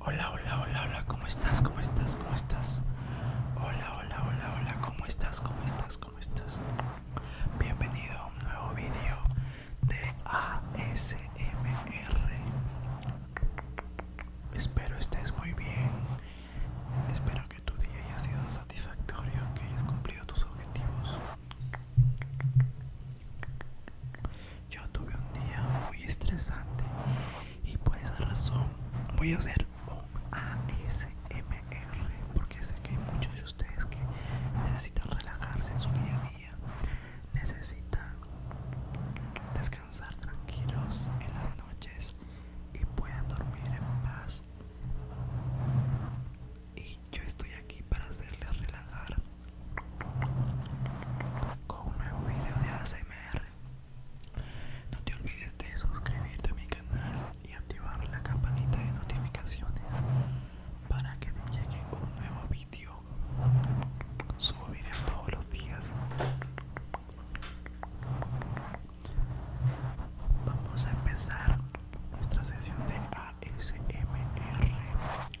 Hola, hola, hola, hola, ¿cómo estás? ¿Cómo estás? ¿Cómo estás? Hola, hola, hola, hola, ¿cómo estás? ¿Cómo estás? ¿Cómo estás? Bienvenido a un nuevo vídeo de ASMR. Espero estés muy bien. Espero que tu día haya sido satisfactorio, que hayas cumplido tus objetivos. Yo tuve un día muy estresante y por esa razón voy a hacer un ASMR porque sé que hay muchos de ustedes que necesitan relajarse en su día a día, necesitan descansar tranquilos en las noches y puedan dormir en paz. Y yo estoy aquí para hacerles relajar con un nuevo video de ASMR. No te olvides de suscribirte a mi canal y activar la campanita de notificaciones para que te llegue un nuevo video. Subo videos todos los días. Vamos a empezar nuestra sesión de ASMR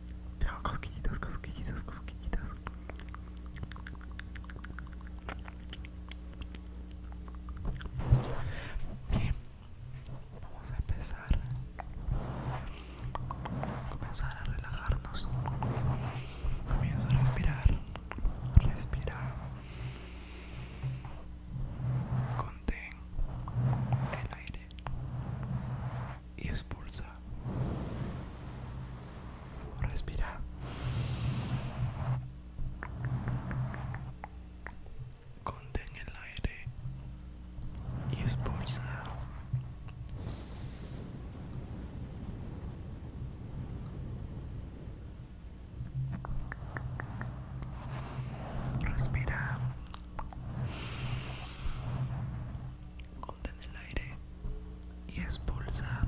Ya, cosquillitas, cosquillitas, cosquillitas. Bien, vamos a empezar. Comenzar a relajarnos. Comienza a respirar. Respira. Contén el aire y expulsa. Respira. Contén el aire y expulsa. Respira. contén el aire y expulsar.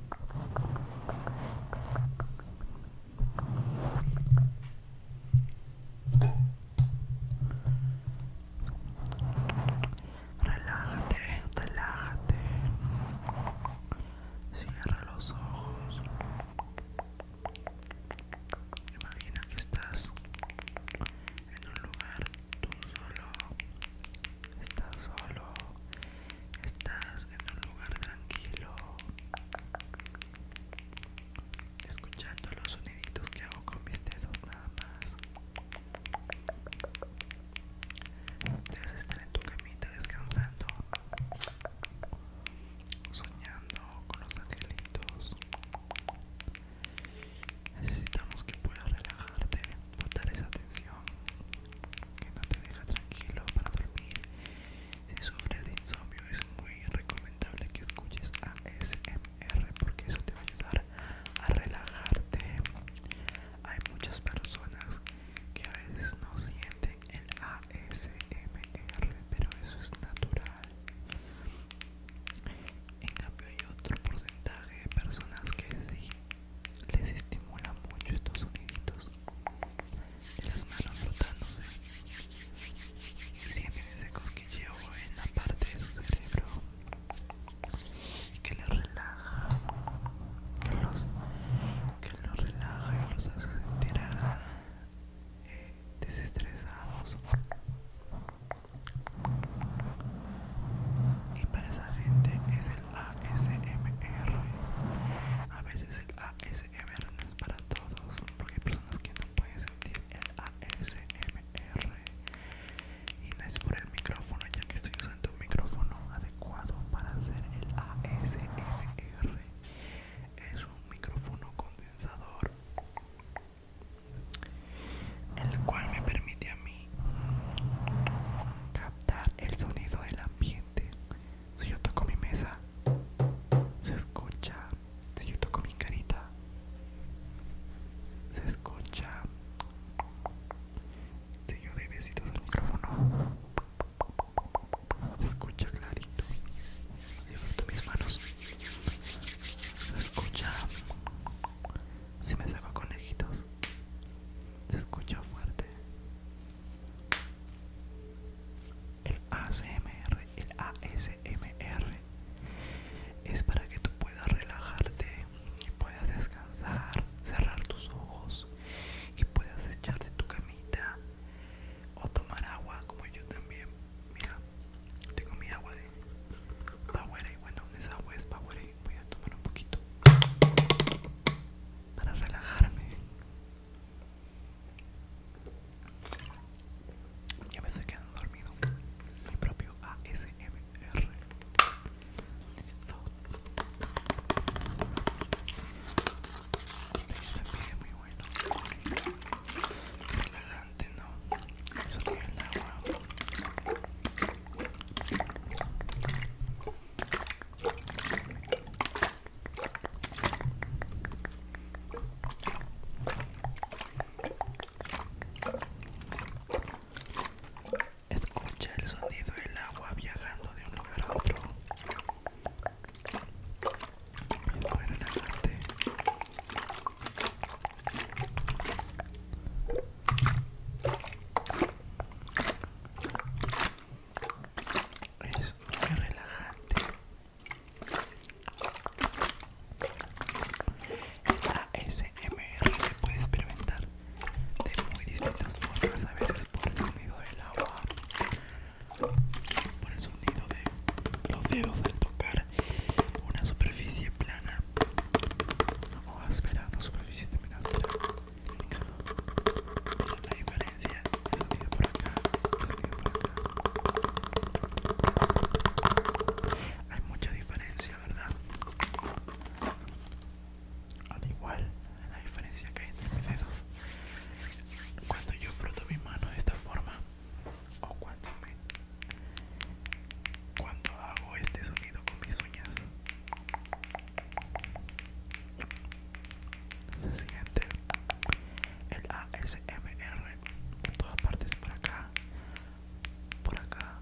Relájate, relájate. Cierra los ojos. Imagina que estás en un lugar tú solo. Estás solo estás en un lugar tranquilo escuchando los soniditos que hago con mis dedos nada más debes estar en tu camita descansando soñando con los angelitos necesitamos que puedas relajarte dar esa tensión que no te deja tranquilo para dormir. Si sufres de insomnio es muy recomendable que escuches ASMR porque eso te va a ayudar a relajarte. Hay muchas personas que a veces no sienten el ASMR, pero eso es natural. En cambio hay otro porcentaje de personas que sí les estimula mucho estos soniditos de las manos flotándose y sienten ese cosquilleo en la parte de su cerebro que los relaja que los, que los relaja y los hace sentir eh, desestresados y para esa gente es el ASMR. A veces el ASMR no es para todos, porque hay personas que no pueden sentir el ASMR. Y no es por el micrófono, ya que estoy usando un micrófono adecuado para hacer el ASMR. Es un micrófono condensador el cual me permite a mí captar el sonido de la ambiente. Si yo toco mi mesa, se escucha. Si yo toco mi carita, se escucha. Si yo doy besitos al micrófono, se escucha clarito. Si froto mis manos, se escucha. Si me saco conejitos, se escucha fuerte. El ASMR, el ASMR es para que tú puedas relajarte y puedas descansar, cerrar tus ojos y puedas echarte tu camita o tomar agua como yo también. Mira, tengo mi agua de Powerade. Bueno, esa agua es Powerade. Voy a tomar un poquito para relajarme. Y a veces quedan dormido mi propio ASMR. Listo. Este muy bueno. Relajante, ¿no? Eso tiene el agua. Escucha el sonido del agua viajando de un lugar a otro es muy relajante el ASMR se puede experimentar de muy distintas formas a veces por el sonido del agua por el sonido de los dedos al tocar una superficie plana o áspera, una superficie terminada diferencia. El sonido por acá, el sonido por acá. Hay mucha diferencia, ¿verdad? Al igual la diferencia que hay entre mis dedos. Cuando yo froto mi mano de esta forma, o cuando cuando hago este sonido con mis uñas, se siente el ASMR en todas partes, por acá, por acá,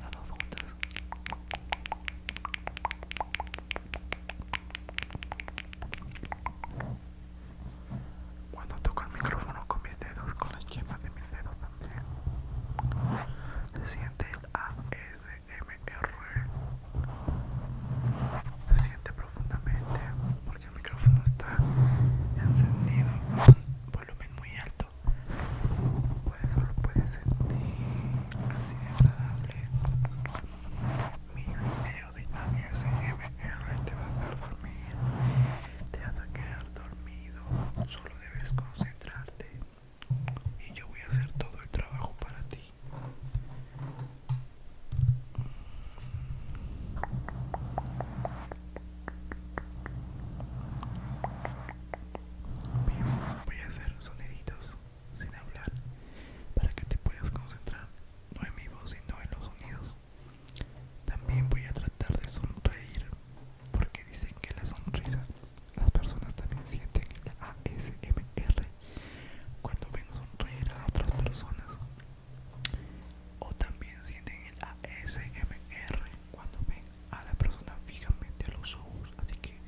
las dos juntas. Cuando toco el micrófono con mis dedos, con las yemas de mis dedos también, se siente el ASMR. MR se Siente profundamente porque el micrófono está encendido con un volumen muy alto. Por eso lo puedes sentir así de agradable. Mi video de M.R. te va a hacer dormir, te vas a quedar dormido, solo debes concentrarte y yo voy a hacer todo el trabajo para ti. voy a hacer soniditos sin hablar para que te puedas concentrar no en mi voz sino en los sonidos. También voy a tratar de sonreír porque dicen que la sonrisa las personas también sienten la ASMR cuando ven sonreír a otras personas o también sienten el ASMR cuando ven a la persona fijamente a los ojos así que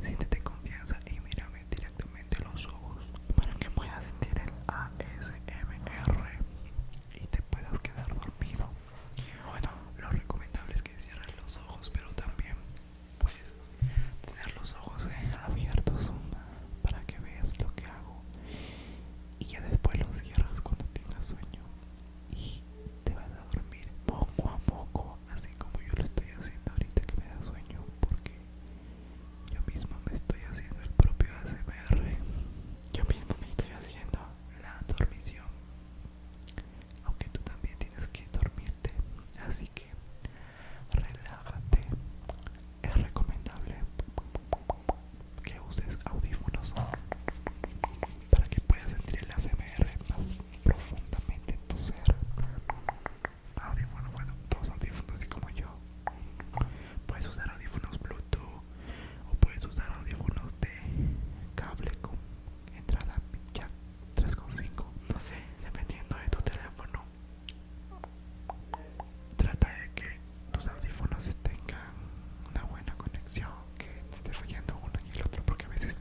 siéntete confianza y mírame directamente a los ojos para que puedas sentir el ASMR y te puedas quedar dormido bueno lo recomendable es que cierren los ojos pero también pues tener los ojos eh, abiertos para que veas lo que hago y ya después los cierras cuando tengas sueño y te vas a dormir poco a poco así como yo lo estoy haciendo ahorita que me da sueño porque yo mismo me estoy haciendo el propio ASMR yo mismo me estoy haciendo la dormición aunque tú también tienes que dormirte así que relájate. Es recomendable que uses audífonos para que puedas sentir el ASMR más profundamente en tu ser. Audífonos, bueno, todos audífonos, así como yo. Puedes usar audífonos Bluetooth o puedes usar audífonos de cable con entrada jack 3.5, no sé, dependiendo de tu teléfono Trata de que tus audífonos tengan una buena conexión, que no esté fallando uno y el otro, porque a veces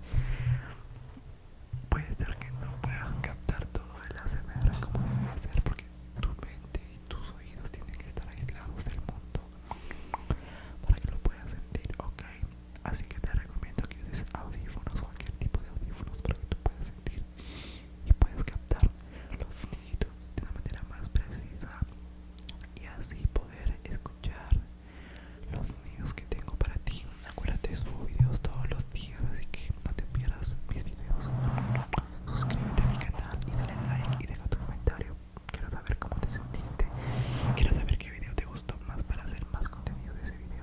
puede ser que no puedas captar todo el ASMR como debe ser, porque tu mente y tus oídos tienen que estar aislados del mundo para que lo puedas sentir, ok. Así que te recomiendo que uses audífonos cualquier tipo de audífonos para que tú puedas sentir y puedas captar los sonidos de una manera más precisa y así poder escuchar los sonidos que tengo para ti. Acuérdate, subo videos todos los días, así que no te pierdas mis videos. Suscríbete a mi canal y dale like y deja tu comentario. Quiero saber cómo te sentiste. Quiero saber qué video te gustó más para hacer más contenido de ese video.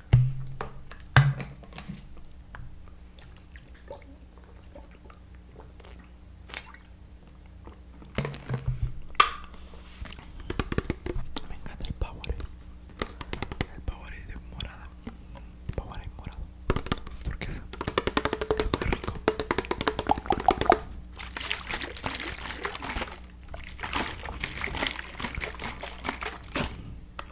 Me encanta el Powerade. El Powerade de morada. Powerade morado. Porque Es muy rico.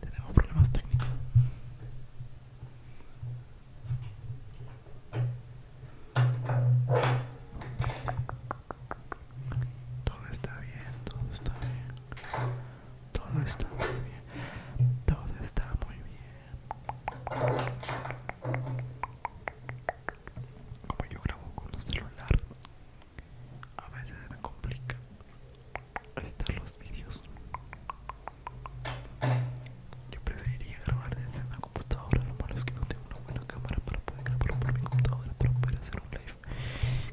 Tenemos problemas técnicos. Todo está bien, todo está bien. Todo está muy bien. Todo está muy bien. Como yo grabo con un celular, a veces me complica editar los videos yo preferiría grabar desde una computadora lo malo es que no tengo una buena cámara para poder grabar por mi computadora para poder hacer un live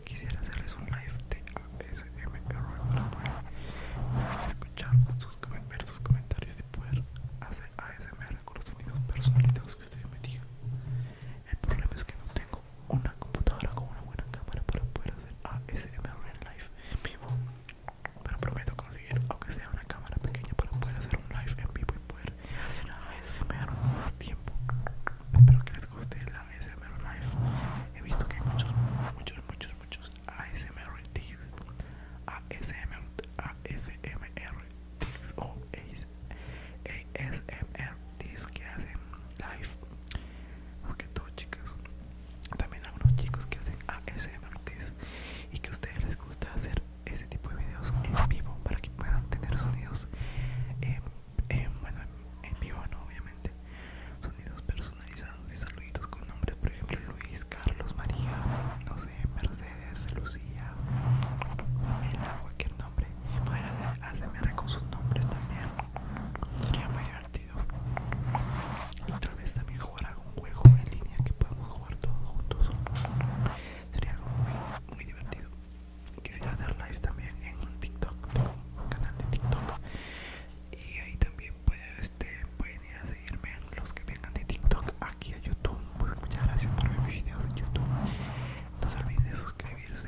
quisiera hacerles un live de ASMR para escuchar sus, ver sus comentarios y poder hacer ASMR con los sonidos personalizados que ustedes me digan el problema es que no tengo una computadora con una buena cámara para poder hacer ASMR en live en vivo. Pero prometo conseguir, aunque sea una cámara pequeña, para poder hacer un live en vivo y poder hacer ASMR más tiempo. Espero que les guste la ASMR live. He visto que hay muchos, muchos, muchos, muchos ASMR tics. ASMR, ASMR o ASMR. ASMRTs que hacen live Porque que chicas también algunos chicos que hacen ASMRTs y que a ustedes les gusta hacer ese tipo de videos en vivo para que puedan tener sonidos eh, eh, en vivo no obviamente sonidos personalizados y saluditos con nombres por ejemplo Luis Carlos María no sé Mercedes Lucía cualquier nombre y poder hacer ASMR con sus nombres también sería muy divertido Otra vez también jugar algún juego en línea que podamos jugar todos juntos sería muy, muy divertido quisiera hacer live también en TikTok tengo un canal de TikTok y ahí también puede, este, pueden ir a seguirme los que vengan de TikTok aquí a YouTube pues muchas gracias por mis videos en YouTube no se olviden de suscribirse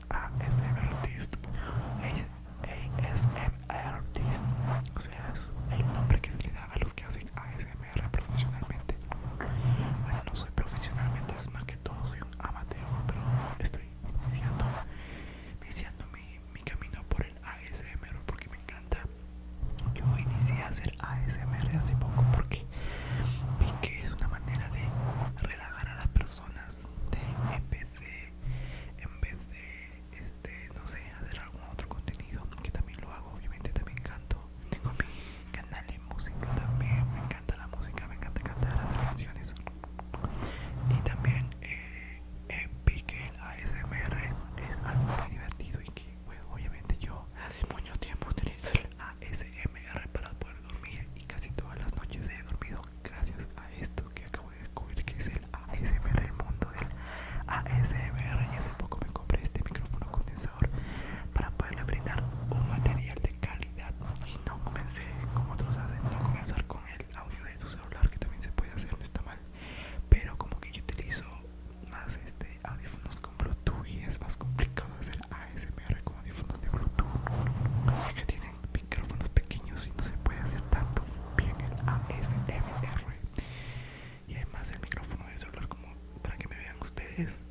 ASMRtist Artist O sea, es el nombre que se le da a los que hacen ASMR profesionalmente Bueno, no soy profesionalmente, es más que todo soy un amateur Pero estoy iniciando, mi, camino por el ASMR porque me encanta Yo inicié a hacer ASMR hace poco porque vi que es una manera de relajar a las personas de en vez de este no sé hacer algún otro contenido que también lo hago obviamente también canto tengo mi canal de música también me encanta la música me encanta cantar hacer canciones y también eh, eh, que el ASMR es algo muy divertido y que obviamente yo hace mucho tiempo utilizo el ASMR para poder dormir y casi todas las noches he dormido gracias a esto que acabo de descubrir que es el ASMR, el mundo del ASMR y hace poco me compré este micrófono condensador para poderle brindar un material de calidad y no comencé como otros hacen, no comenzar con el audio de tu celular que también se puede hacer, no está mal, pero como que yo utilizo más este audífonos con Bluetooth y es más complicado hacer ASMR con audífonos de Bluetooth micrófonos pequeños y no se puede hacer tanto bien el ASMR y además el micrófono de celular como para que me vean ustedes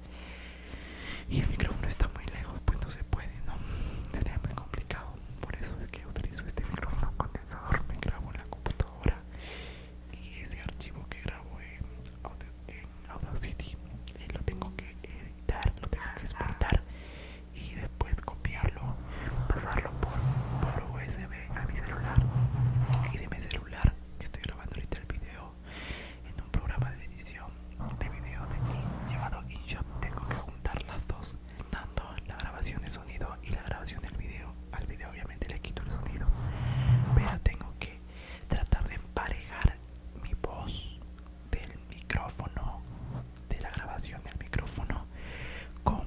y el micrófono está muy lejos pues no se puede no sería muy complicado por eso es que utilizo este micrófono condensador me grabo en la computadora y ese archivo que grabo en, en Audacity lo tengo que editar lo tengo que exportar y después copiarlo, pasarlo por, por USB a mi celular y de mi celular que estoy grabando ahorita el video en un programa de edición de video de llevado llamado InShot tengo que juntar las dos tanto la grabación de sonido y la grabación del video al video obviamente le quito el sonido pero tengo que tratar de emparejar mi voz del micrófono de la grabación del micrófono con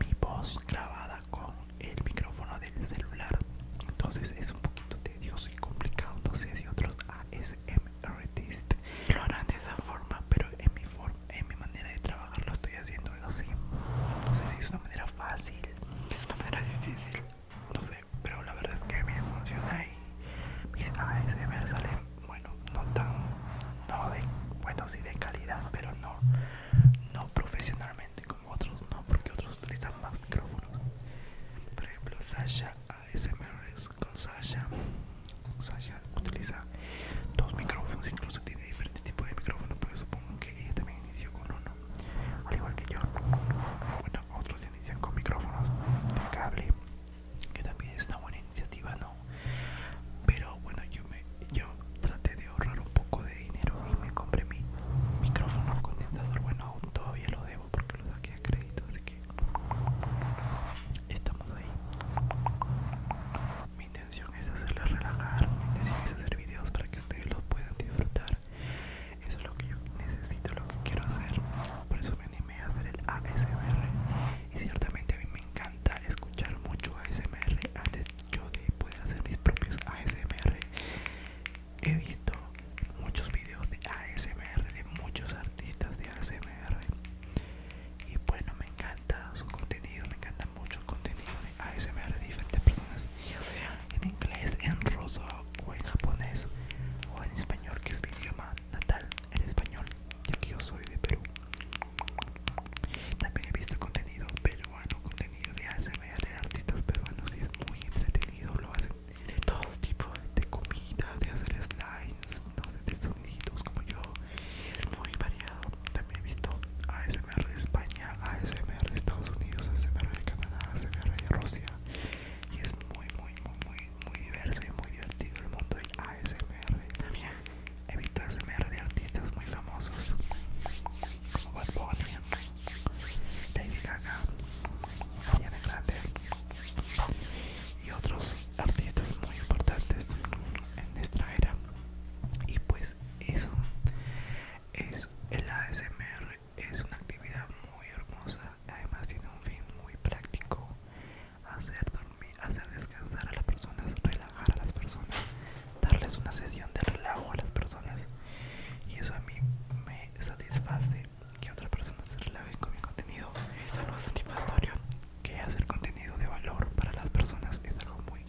mi voz grabada con el micrófono del celular entonces es un poquito tedioso y complicado no sé si otros ASMRTist lo harán de esa forma pero en mi, forma, en mi manera de trabajar lo estoy haciendo así no sé si es una manera fácil es una manera difícil no sé pero la verdad es que me funciona mis ASMR salen, bueno, no tan, no de, bueno, sí de calidad, pero no, no profesionalmente como otros, no, porque otros utilizan más micrófonos. Por ejemplo, Sasha ASMR con Sasha, Sasha utiliza dos micrófonos, incluso tiene diferentes tipos de micrófonos, pero supongo que ella también inició con uno, al igual que yo. Bueno, otros inician con micrófonos de cable que también es una buena iniciativa, ¿no? Pero bueno, yo me yo traté de ahorrar un poco de dinero y me compré mi micrófono condensador. Bueno, aún todavía lo debo porque lo saqué a crédito, así que estamos ahí. Mi intención es hacerles relajar, mi intención hacer videos para que ustedes los puedan disfrutar. Eso es lo que yo necesito, lo que quiero hacer. Por eso me animé a hacer el ASMR y ciertamente a mí me encanta escuchar mucho ASMR antes yo de poder hacer mis propios ASMR he visto muchos videos de ASMR de muchos artistas de ASMR y bueno me encanta su contenido me encanta mucho el contenido de ASMR de diferentes personas ya sea en inglés en ruso o en japonés o en español que es mi idioma natal el español ya yo soy de Perú. También he visto contenido peruano, contenido de ASMR de artistas peruanos y es muy entretenido, lo hacen de todo tipo de comida, de hacer slides, de sonidos como yo, es muy variado. También he visto ASMR de España, ASMR de Estados Unidos, ASMR de Canadá, ASMR de Rusia y es muy, muy, muy, muy muy diverso y muy divertido el mundo del ASMR. También he visto ASMR de artistas muy famosos como Bad Bunny, Lady Gaga, Ariana Grande y otros artistas muy importantes en nuestra era. Y pues eso es el ASMR, es una actividad muy hermosa, además tiene un fin muy práctico hacer dormir, hacer descansar a las personas, relajar a las personas, darles una sesión de relajo a las personas. Y eso a mí me satisface que otras personas se relajen con mi contenido. Es algo satisfactorio que hacer contenido de valor para las personas es algo muy,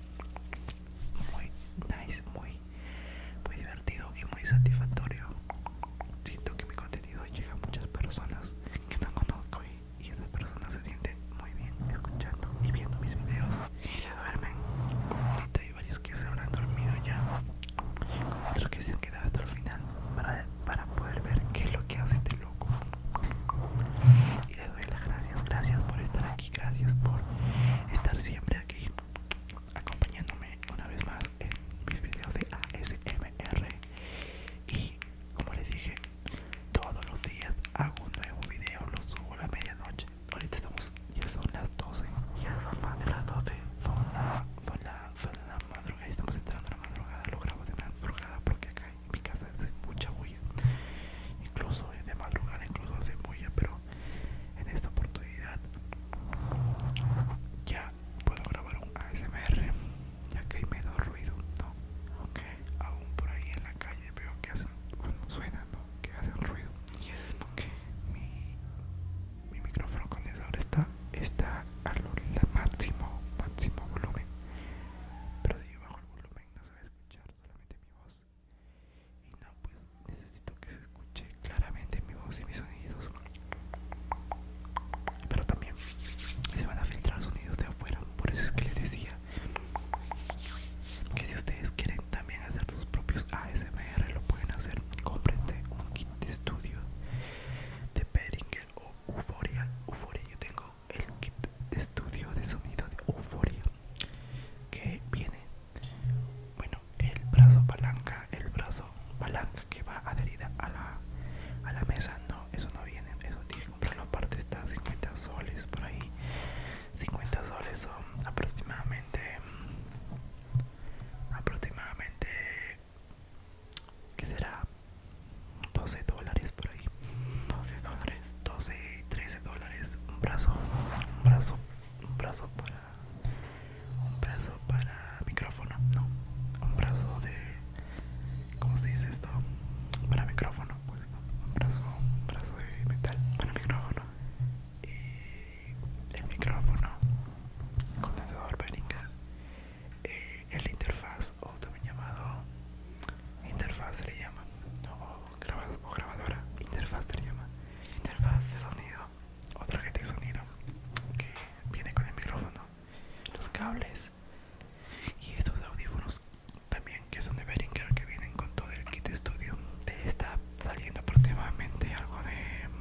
muy nice, muy, muy divertido y muy satisfactorio. Siento que mi contenido llega a muchas personas que no conozco y esas personas se sienten muy bien escuchando y viendo mis videos y se duermen ahorita hay varios que se habrán dormido ya Con otros que se han quedado hasta el final para, para poder ver qué es lo que hace este loco y les doy las gracias gracias por estar aquí gracias por estar siempre aquí acompañándome una vez más en mis videos de ASMR y como les dije todos los días hago un nuevo video, lo subo a la medianoche. Ahorita estamos, ya son las 12. Ya son más de las 12. Son la, son la, son la madrugada. Estamos entrando a la madrugada. Lo grabo de madrugada porque acá en mi casa hace mucha bulla. Incluso de madrugada, incluso hace bulla. Pero en esta oportunidad ya puedo grabar un ASMR ya que hay menos ruido, ¿no? Aunque aún por ahí en la calle veo que hacen, bueno, suenan, ¿no? Que hacen ruido. Y es porque mi, mi micrófono condensador está, está lo máximo, máximo volumen. Pero si bajo el volumen no se va a escuchar solamente mi voz. Y no, pues necesito que se escuche claramente mi voz y mis sonidos pero también se van a filtrar sonidos de afuera por eso es que les decía que si ustedes quieren también hacer sus propios ASMR lo pueden hacer cómprense un kit de estudio de Behringer o Euforia Euforia yo tengo el kit de estudio de sonido de Euforia que viene bueno el brazo palanca el brazo palanca que va adherida a la mesa no eso no viene eso la comprarlo está 50 soles por ahí 50 soles son aproximadamente aproximadamente que será 12 dólares por ahí 12 dólares 12 13 dólares un brazo un brazo un brazo para un brazo para micrófono no un brazo de ¿Cómo se dice esto? Para micrófono, pues, un brazo, un brazo de metal para micrófono. Y el micrófono, condensador eh, el interfaz, o también llamado interfaz se le llama, o, grabadora, interfaz se le llama, interfaz de sonido, o gente de sonido que viene con el micrófono los cables y estos audífonos también que son de Beringer que vienen con todo el kit estudio está saliendo aproximadamente algo de mm,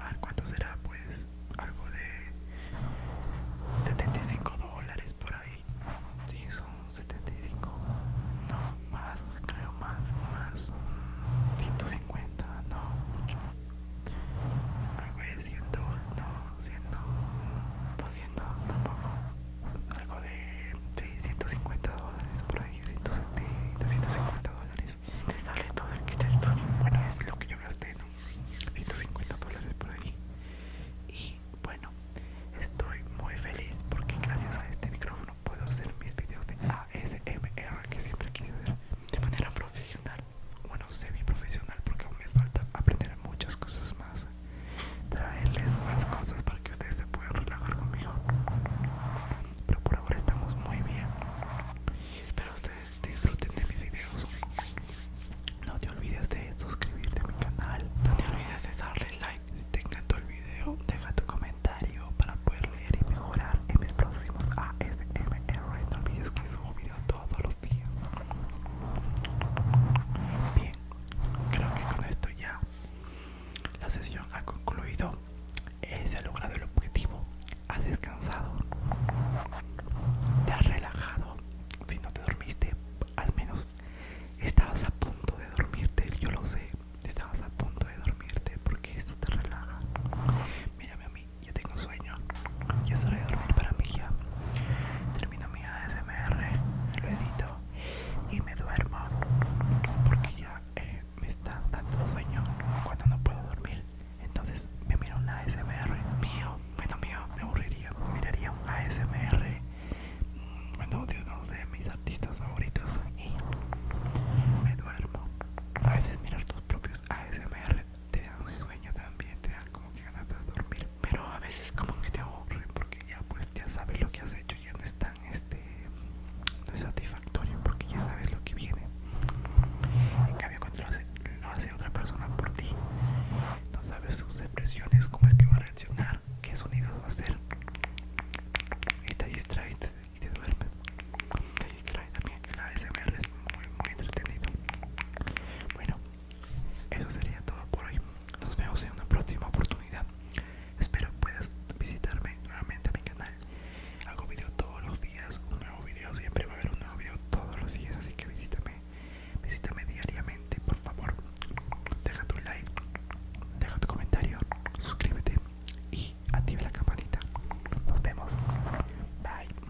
a ver cuánto será pues algo de 75 dólares por ahí si sí, son 75 no más creo más más 150 mm, no algo de no, 100, algo de 150 dólares por ahí, 170, 150 dólares. Te sale todo el kit bueno, es lo que yo gasté, ¿no? 150 dólares por ahí. Y bueno, estoy muy feliz porque gracias a este micrófono puedo hacer mis videos de ASMR que siempre quise hacer de manera profesional sé semi profesional porque aún me falta aprender muchas cosas más traerles más cosas para que ustedes se puedan relajar conmigo pero por ahora estamos muy bien espero ustedes disfruten de mis videos no te olvides de suscribirte a mi canal no te olvides de darle like si te encantó el video deja tu comentario para poder leer y mejorar en mis próximos ASMR no olvides que subo videos todos los días. Bien, creo que con esto ya la sesión ha concluido. se ha logrado el objetivo. Has descansado, te has relajado. Si no te dormiste, al menos estabas a punto de dormirte. Yo lo sé, estabas a punto de dormirte porque esto te relaja. Mírame a ya tengo sueño, ya solo hora de dormir para mí ya. Termino mi ASMR, lo edito y me duermo porque ya eh, me está dando sueño cuando no puedo dormir. Entonces me miro un ASMR mío, bueno mío, me aburriría, miraría un ASMR, mm, de uno de mis artistas favoritos y me duermo. A veces mirar tus propios ASMR te dan sueño también, te da como que ganas de dormir, pero a veces como que te aburre porque ya pues ya sabes lo que has hecho, ya no es tan este no es satisfactorio porque ya sabes lo que viene. En cambio cuando lo hace, otra persona por ti, no sabes sus expresiones, cómo es que va a reaccionar, qué sonidos va a hacer y te distraes y te duermes. Te distraes también, el ASMR es muy muy entretenido. Bueno, eso sería todo por hoy. Nos vemos en una próxima oportunidad. Espero puedas visitarme nuevamente a mi canal. Hago video todos los días, un nuevo video, siempre va a haber un nuevo video todos los días, así que visítame, visítame diariamente, por favor. Deja tu like, deja tu comentario, suscríbete y activa la campanita. Nos vemos. Bye.